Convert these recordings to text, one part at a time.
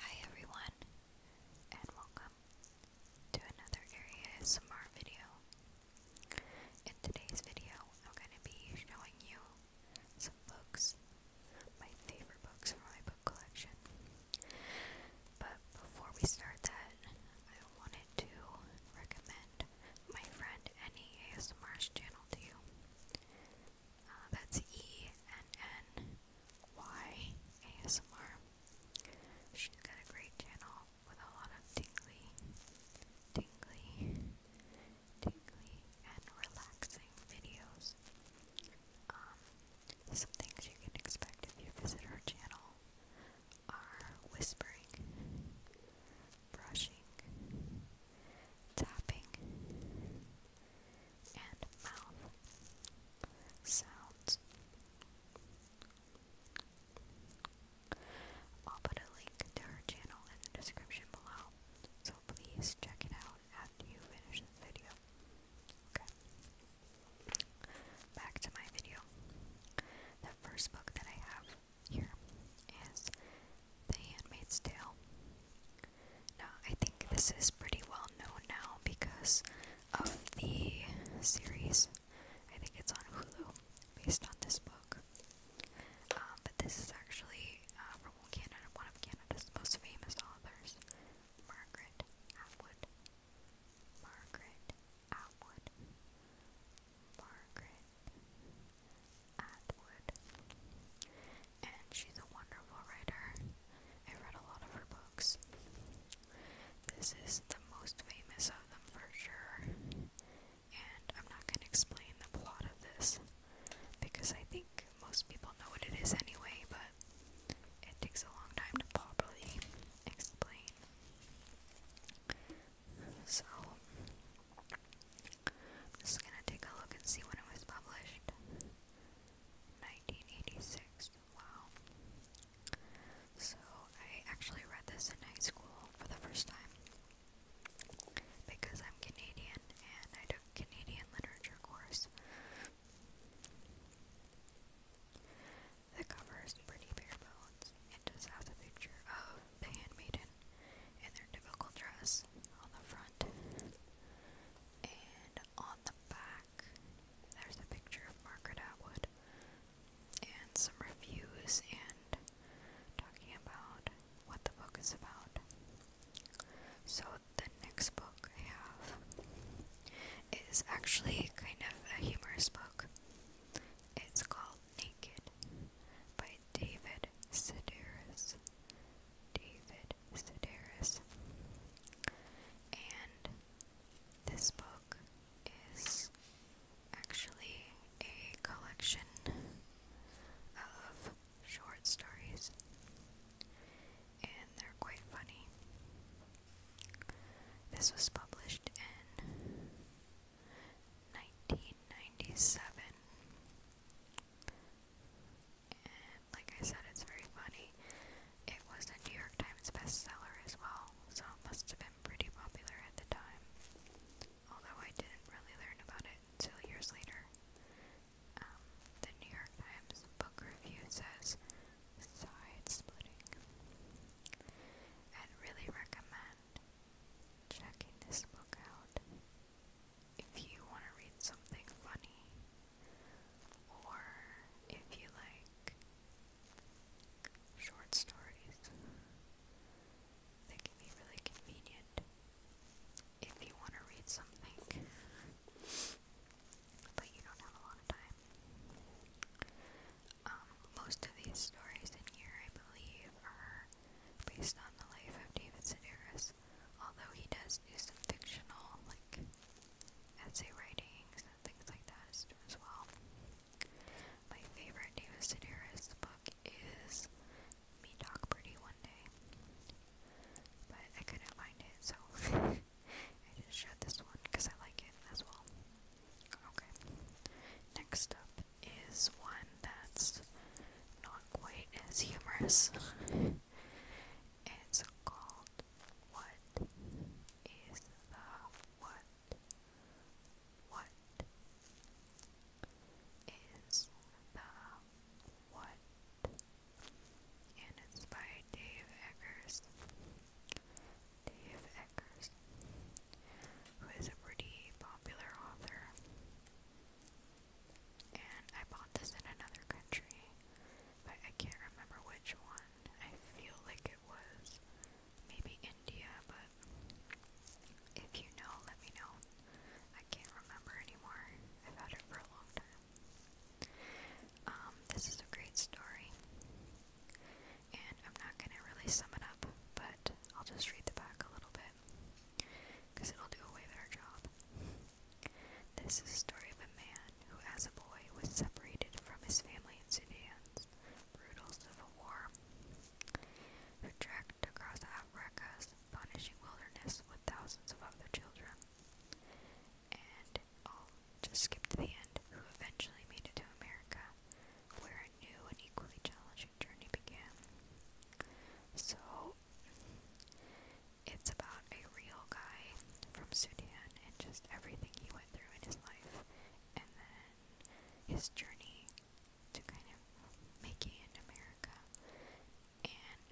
Hi everyone, and welcome to another Area ASMR video. In today's video, I'm going to be showing you some books, my favorite books from my book collection. But before we start that, I wanted to recommend my friend Annie ASMR's channel to you. Uh, that's E N N Y She's got a great channel with a lot of tingly, tingly, tingly, and relaxing videos. Um, some things you can expect if you visit her channel are whispering, brushing, tapping, and mouth sounds. I'll put a link to her channel in the description below, so please check it out after you finish this video. Okay. Back to my video. The first book that I have here is The Handmaid's Tale. Now, I think this is pretty well known now because of the series. I think it's on Hulu, based on this book. Um, but this is actually uh, from Canada, one of Canada's most famous authors, Margaret Atwood. Margaret Atwood. Margaret Atwood and she's a wonderful writer. I read a lot of her books. This is the most famous of them for sure, and I'm not going to explain the plot of this because I think most people know what it is anyway, but it takes a long time to properly explain. So, I'm just gonna take a look and see when it was published. 1986. Wow. So I actually read this in high school for the first time because I'm Canadian and I took Canadian literature course. The cover is pretty It just has a picture of the handmaiden in their typical dress on the front and on the back there's a picture of Margaret Atwood and some reviews and talking about what the book is about. So the next book I have is actually kind of a humorous book. It's called Naked by David Sedaris David Sedaris. And this book is actually a collection of short stories, and they're quite funny. This was published in 1997 and like I said, it's very funny. It was a New York Times bestseller as well, so it must have been pretty popular at the time. Although I didn't really learn about it until years later. Um, the New York Times book review says side splitting. I'd really recommend checking this book out if you want to read something funny or if you like short stories, they can be really convenient if you want to read something, but you don't have a lot of time. Um, most of these stories in here, I believe, are based on the life of David Sedaris, although he does use some fictional, like essay writings and things like that as well. My favorite David Sedaris book is Me Talk Pretty One Day, but I couldn't find it, so I just showed this one because I like it as well. Okay, next up is one that's not quite as humorous. it's called what is the what? What is the what? And it's by Dave Eggers. Dave Eggers, who is a pretty popular author. And I bought this in another country, I can't remember which one. I feel like it was maybe India, but if you know, let me know. I can't remember anymore. I've had it for a long time. Um, this is a great story, and I'm not gonna really sum it up, but I'll just read the back a little bit because it'll do away with our job. This is the story of a man who, as a boy, was separated from his family in Sudan's brutal civil war, who trekked across Africa's punishing wilderness with thousands of other children, and i just skip to the end, who eventually made it to America, where a new and equally challenging journey began. So, it's about a real guy from Sudan and just everything he went through in his life and then his journey to kind of making it in America. And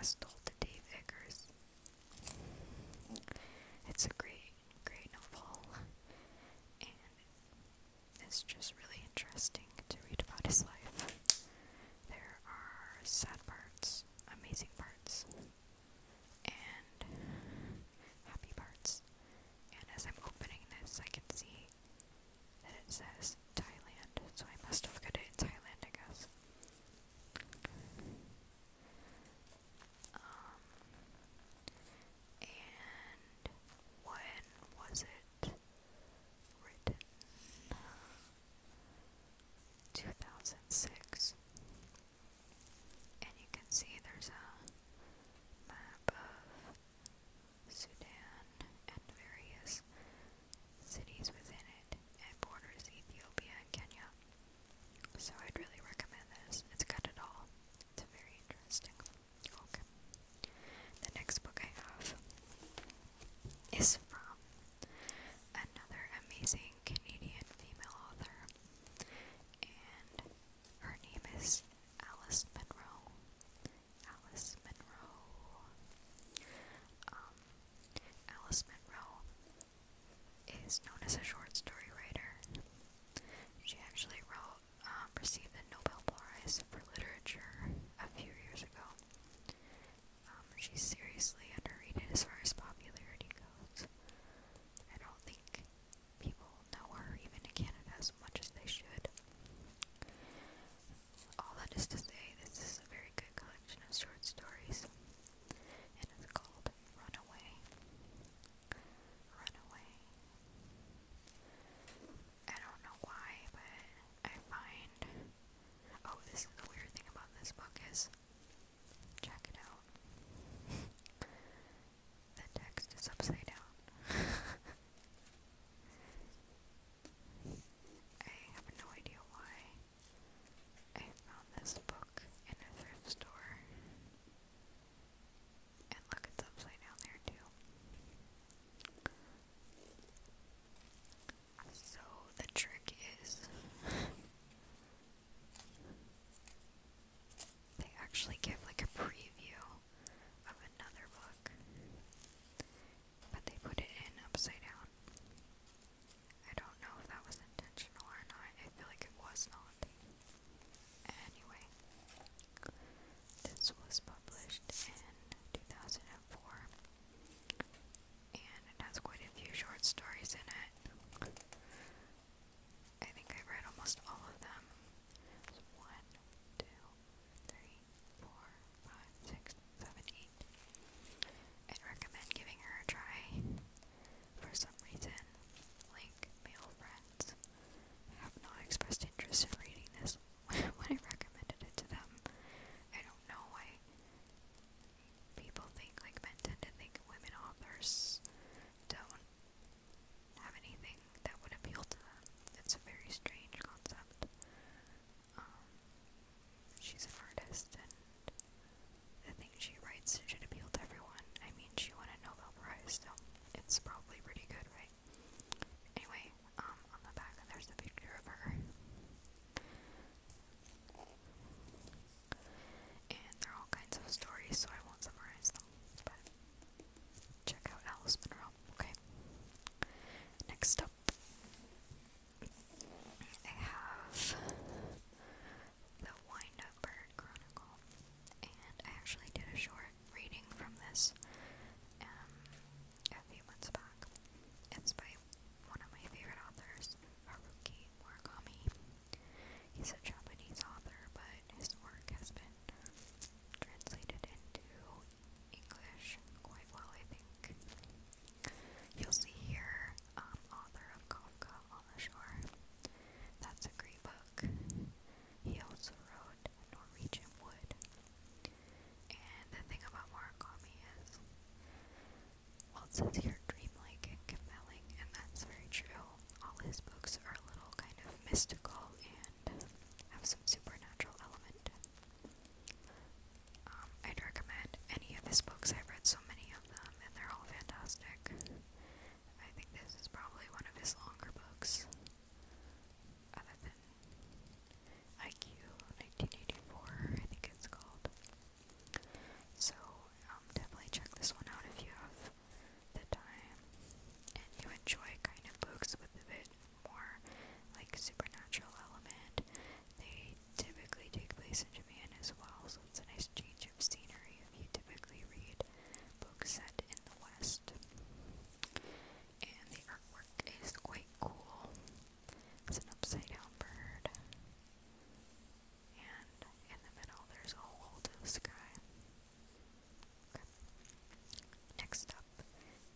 as told to Dave Eggers, it's a great, great novel. And it's just really interesting to read about his life. There are sad parts, amazing parts, and happy parts. And as I'm opening this, I can see that it says Thailand, so I must have got it in Thailand, I guess. Um, and when was it written? 2006 and you can see there's a map of Sudan and various cities within it and borders Ethiopia and Kenya. So I'd really recommend this. It's got it all. It's very interesting. Okay. The next book I have is from another amazing Canadian female author, and her name is Alice Monroe. Alice Monroe. Um, Alice Monroe is known as a short story writer. She actually wrote, um, received the Nobel Prize for Literature a few years ago. Um, she's seriously underrated as far as popularity goes. I don't think people know her even in Canada as much as they should. All that is to say, this is a very good collection of short stories, and it's called Runaway. Runaway. I don't know why, but I find. Oh, this the weird thing about this book is Check it out. the text is upside down. I have no idea why I found this book in a thrift store. And look, it's upside down there too. So the trick is they actually give like a preview of another book, but they put it in upside down. I don't know if that was intentional or not. I feel like it was not. Anyway, this was published in 2004 and it has quite a few short stories in it. I think I've read almost all of them. one, two, three, four, five, six, seven, eight. I'd recommend giving her a try. For some reason, like male friends have not expressed interest in reading this when I recommended it to them. I don't know why people think, like men tend to think women authors don't have anything that would appeal to them. It's a very strange concept. Um, she's an artist, and the things she writes should appeal to everyone. I mean, she won a Nobel Prize, so it's probably pretty good, right? Anyway, um, on the back there's a picture of her. And there are all kinds of stories, so I won't summarize them. But check out Alice Monroe, okay? Next up, I have The Wind Bird Chronicle. And I actually did a short reading from this um, a few months back. It's by one of my favorite authors, Haruki Murakami. He's a Japanese author, but his work has been translated into English quite well, I think. You'll see here, um, author of Kafka on the Shore. That's a great book. He also wrote Norwegian Wood. And the thing about Murakami is well, it says here dreamlike and compelling, and that's very true. All his books are a little kind of mystical and have some supernatural element. Um, I'd recommend any of his books. I've read so many of them, and they're all fantastic. I think this is probably one of his longer books, other than IQ 1984, I think it's called. So um, definitely check this one out if you have the time and you enjoy kind of books with a bit more like supernatural element. They typically take place in Japan as well, so it's a nice change of scenery if you typically read books set in the West. And the artwork is quite cool. It's an upside down bird and in the middle there's a hole to the sky. Next up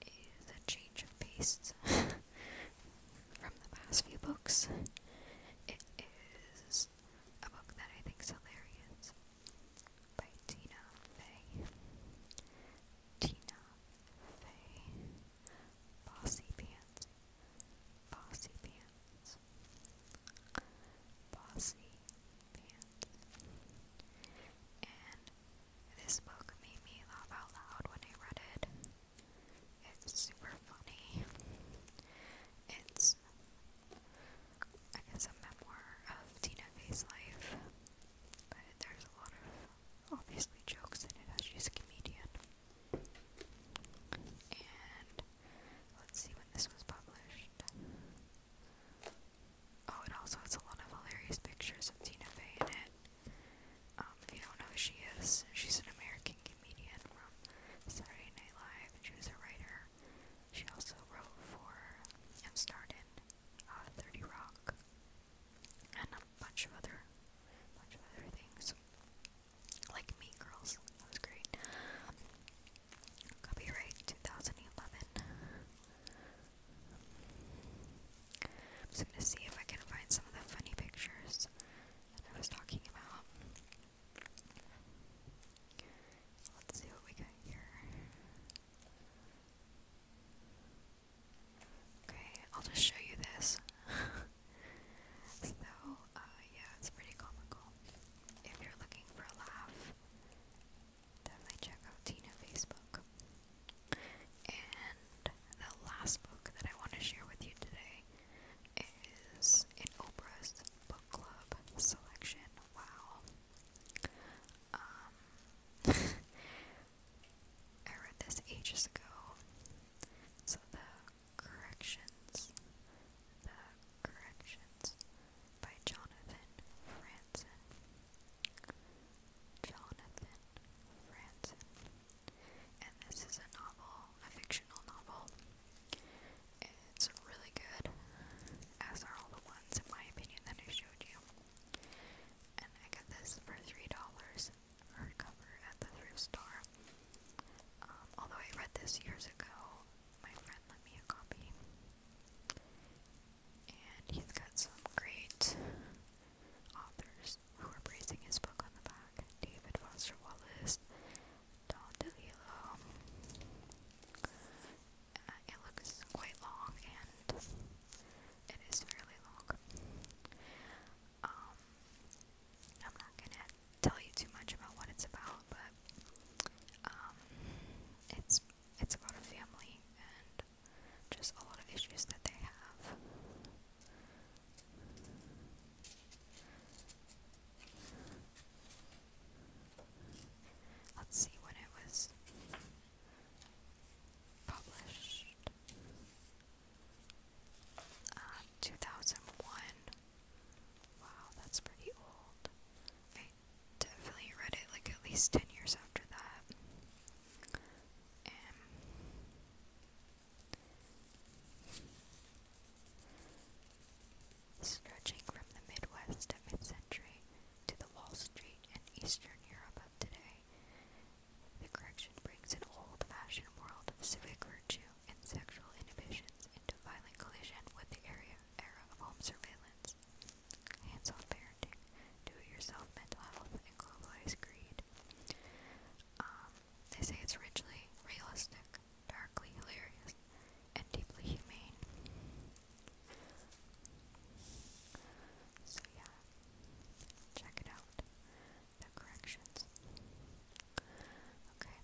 is a change of pace from the past few books. It is a book that I think is hilarious by Tina Fey. Tina Fey bossy pants, bossy pants, bossy pants. And this book made me laugh out loud when I read it. It's super funny. It's, I guess, a memoir of Tina Fey's life, but there's a lot of obviously jokes in it as she's a comedian. And let's see when this was published. Oh, it also has a lot of hilarious pictures of Tina Fey in it. Um, if you don't know who she is, she's an American comedian from Saturday Night Live, and she was a writer. She also wrote for and starred uh, 30 Rock and a bunch of other, bunch of other things. Like Mean Girls. That was great. Copyright 2011. I'm just gonna see if I can find some of the funny pictures that I was talking about. Let's see what we got here. Okay, I'll just show you this. so, uh, yeah, it's pretty comical. If you're looking for a laugh, definitely check out Tina Facebook. And the last book that I want to share with you today is in Oprah's book club selection. Wow. Um, I read this ages ago. So the Corrections. The Corrections by Jonathan Franzen. Jonathan Franzen. And this is a novel, a fictional novel. It's really good, as are all the ones, in my opinion, that I showed you. And I got this for $3 hardcover at the thrift store. Um, although I read this years ago, my friend lent me a copy. And he's got some great authors who are praising his book on the back. David Foster Wallace, Don DeLillo. Uh, it looks quite long and it is fairly long. Um, I'm not gonna tell you too much about what it's about, but um, it's it's about a family and just a lot of issues that they have. Let's see when it was published. Uh, 2001. Wow, that's pretty old. definitely read it like at least 10 years after that. stretching from the Midwest of mid century to the Wall Street and Eastern Europe of today, the correction brings an old fashioned world of civic virtue and sexual inhibitions into violent collision with the area, era of home surveillance. Hands-on parenting, do-it-yourself mental health, and globalized greed. Um, they say it's richly realistic, darkly hilarious, and deeply humane. So yeah, check it out the corrections. Okay.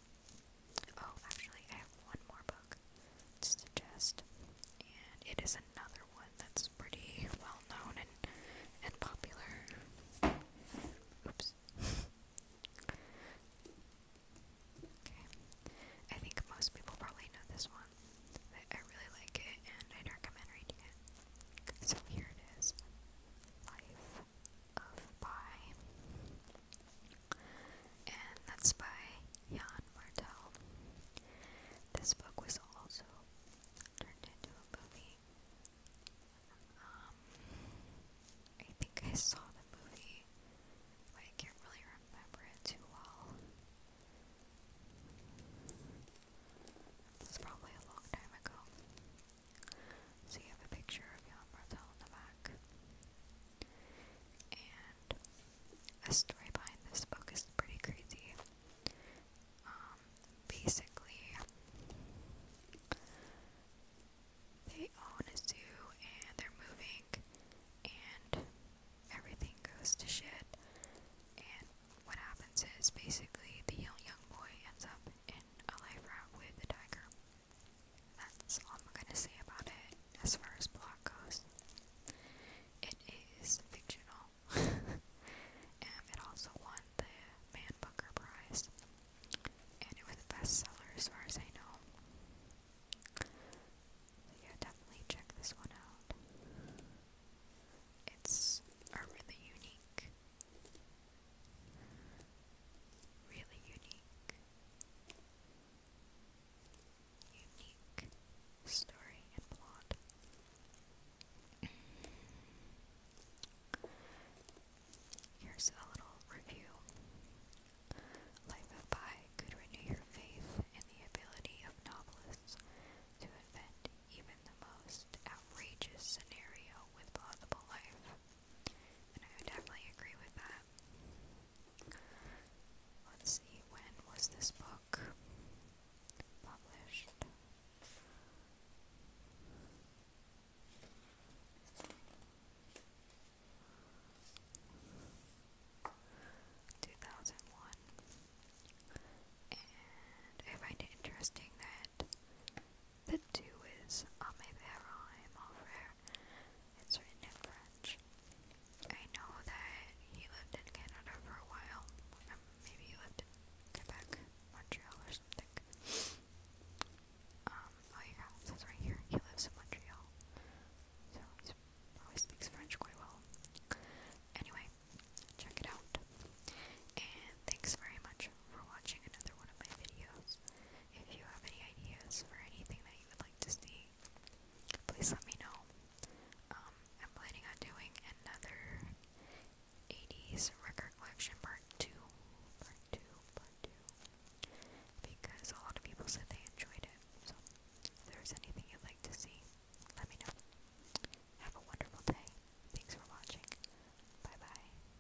Oh, actually, I have one more book to suggest, and it is another one that's pretty well known and and popular. Oops. Okay. I think most people probably know this one. I, I really like it and I'd recommend reading it. So here it is Life of Pi, and that's by Jan Martel. This book was also turned into a movie. Um, I think I saw the movie, but I can't really remember it too well. It's probably a long time ago. So you have a picture of Jan in the back. And the story behind this book is pretty crazy. Um, basically, they own a zoo and they're moving, and everything goes to shit. And what happens is basically the young, boy ends up in a life route with a tiger. That's all I'm gonna say about it as far as plot goes. It is fictional. and it also won the Man Booker Prize. And it was a bestseller as far as I know. yeah, definitely check this one out. It's a really unique Really unique. Unique story and plot. Here's a little review. Life of Pi could renew your faith in the ability of novelists to invent even the most outrageous scenario with plausible life. I would definitely agree with that. Let's see, when was this book published? Two thousand one. I find it interesting that the two is on my Verheim over. It's written in French. I know that he lived in Canada for a while. Um, maybe he lived in Quebec, Montreal, or something. Um, oh yeah, it right here he lives in Montreal. So he always speaks French quite well. Anyway, check it out. And thanks very much for watching another one of my videos. If you have any ideas for anything that you would like to see, please let me know. Um, I'm planning on doing another 80s record collection part 2. Part 2, part 2. Because a lot of people said they enjoyed it. So, if there's anything you'd like to see, let me know. Have a wonderful day. Thanks for watching. Bye bye.